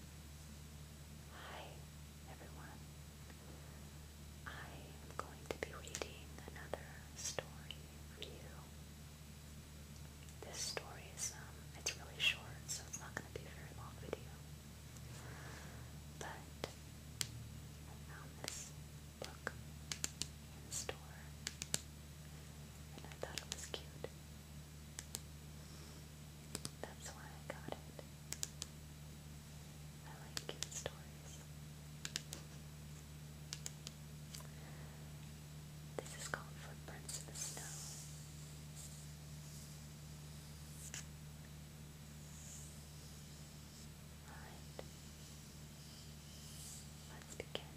Hi, everyone. I am going to be reading another story for you. This story is um, it's really short, so it's not going to be a very long video. But I um, found this book in the store, and I thought it was cute. That's why I got it. I like cute stories. This is called Footprints in the Snow. Alright. Let's begin.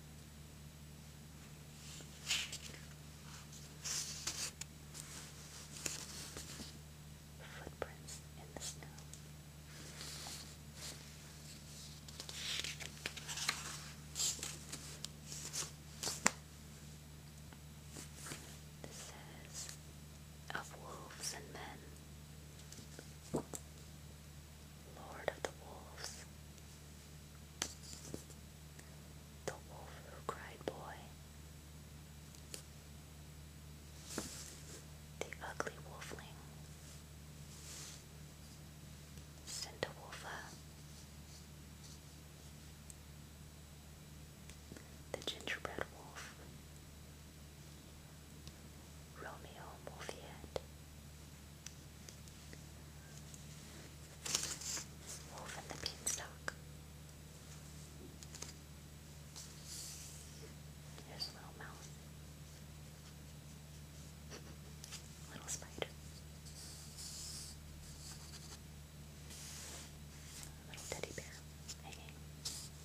Footprints in the snow. This says of wolves and men. Lord of the Wolves. The Wolf Who Cried Boy. The Ugly Wolfling. Cintawolfa. The Gingerbread Wolf. Romeo Mulfiet Wolf and the Beanstalk There's a little mouse Little spider Little teddy bear hanging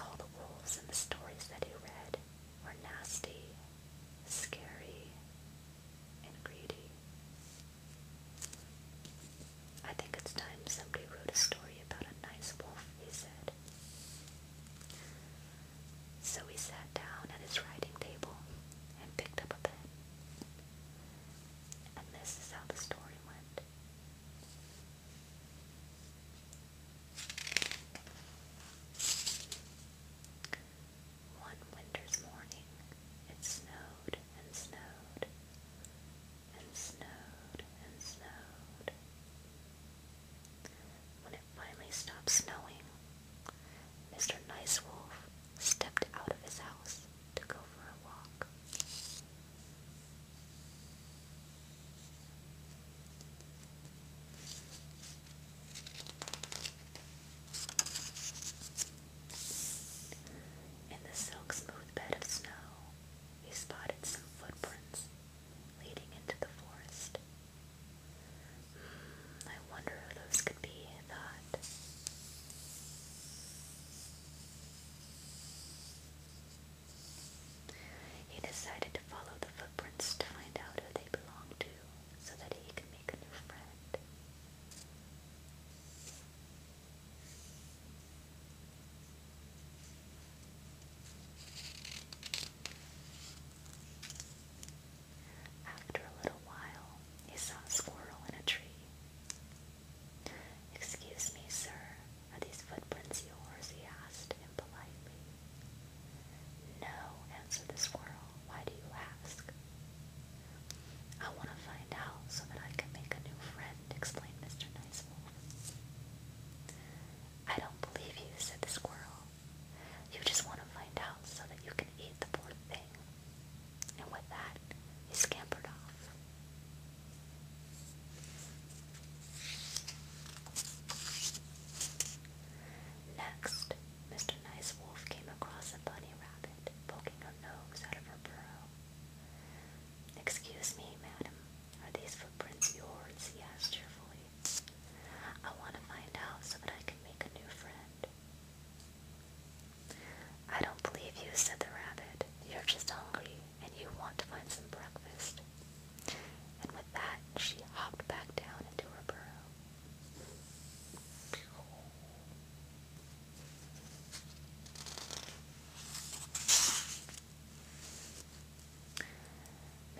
All the wolves in the stories that he read were nasty, scary, and greedy. I think it's time somebody wrote a story about a nice wolf, he said. So he sat down at his writing table and picked up a pen. And this is how the story went. One winter's morning, it snowed and snowed and snowed and snowed. When it finally stopped snowing, Mr. Nice Wolf stepped out of his house to go for a walk. In the silk smooth bed of snow, he spotted some footprints leading into the forest. Hmm, I wonder who those could be a thought. He decided to follow the footprints to find out who they belonged to so that he could make a new friend. After a little while, he saw a squirrel in a tree. Excuse me, sir, are these footprints yours? he asked impolitely. No, answered the squirrel. Why do you ask? I want to find out so that I can make a new friend, explained Mr. Nice Wolf. I don't believe you, said the squirrel. You just want to find out so that you can eat the poor thing and with that, he scampered off. Next, Mr. Nice Wolf came across a bunny rabbit poking her nose out of her burrow. Excuse me, madam, are these footprints yours? he asked cheerfully. I want to find out so that I can make a new friend. I don't believe you, said the rabbit. You're just hungry, and you want to find some breakfast. And with that, she hopped back down into her burrow.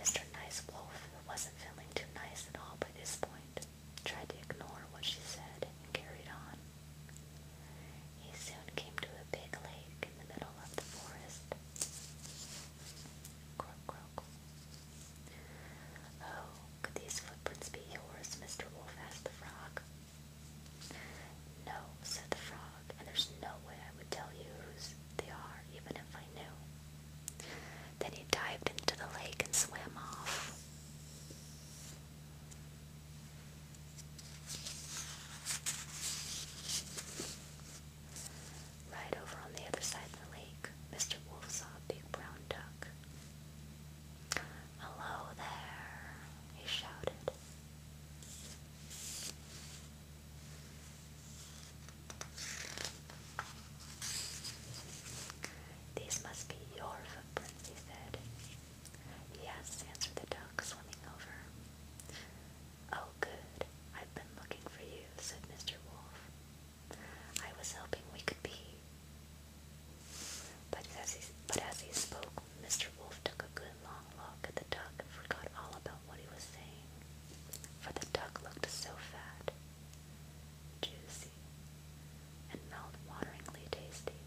Mr. Nice Wolf wasn't feeling too nice at all by this point tried to ignore what she said and carried on. He soon came to a big lake in the middle of the forest. Croak, croak. Oh, could these footprints be yours, Mr. Wolf asked the frog. No, said the frog, and there's no way I would tell you whose they are, even if I knew. Then he dived into the lake and swam off. Right over on the other side of the lake, Mr. Wolf saw a big brown duck. Hello there, he shouted. These must be your footprints, he said. Yes, answered the duck, swimming over. Oh, good. I've been looking for you, said Mr. Wolf. I was hoping we could be. But as he, but as he spoke, Mr. Wolf took a good long look at the duck and forgot all about what he was saying, for the duck looked so fat juicy, and meltwateringly tasty.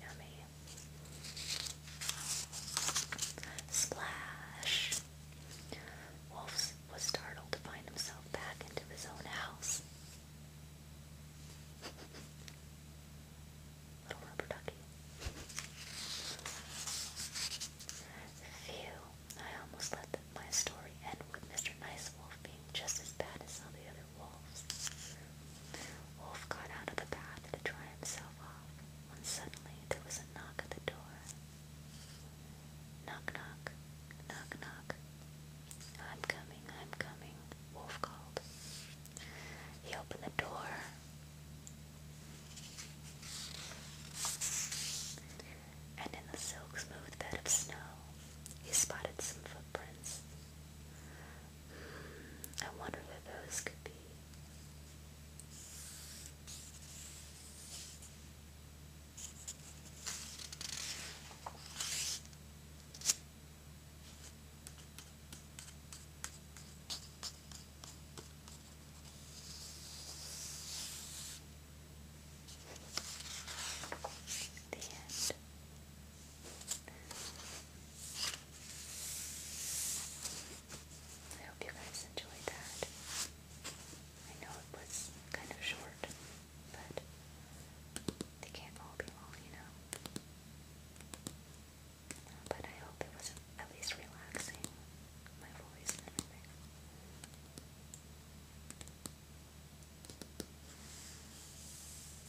Yummy. Splash! Wolf was startled to find himself back into his own house. Little rubber ducky. Phew, I almost let my story end with Mr. Nice Wolf being just as bad as all the other wolves. Wolf got out of the bath to dry himself off when suddenly there was a knock at the door. Knock, knock, knock, knock. I'm coming, I'm coming, Wolf called. He opened the door and in the silk smooth bed of snow, he spotted some footprints. Hmm, I wonder who those could be. The I hope you guys enjoyed that. I know it was kind of short, but they can't all be long, you know. But I hope it was at least relaxing, my voice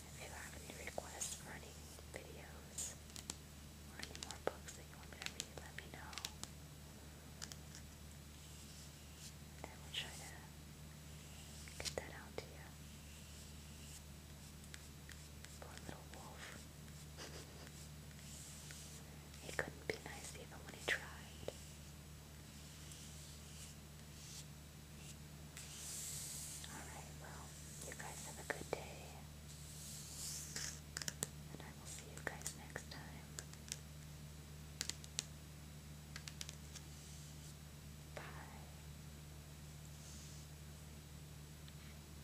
If you have any requests for any videos or any more books that you want me to read, let me know. And I will try to get that out to you. Poor little wolf. He couldn't be nice even when he tried. Alright, well, you guys have a good day. And I will see you guys next time. Bye.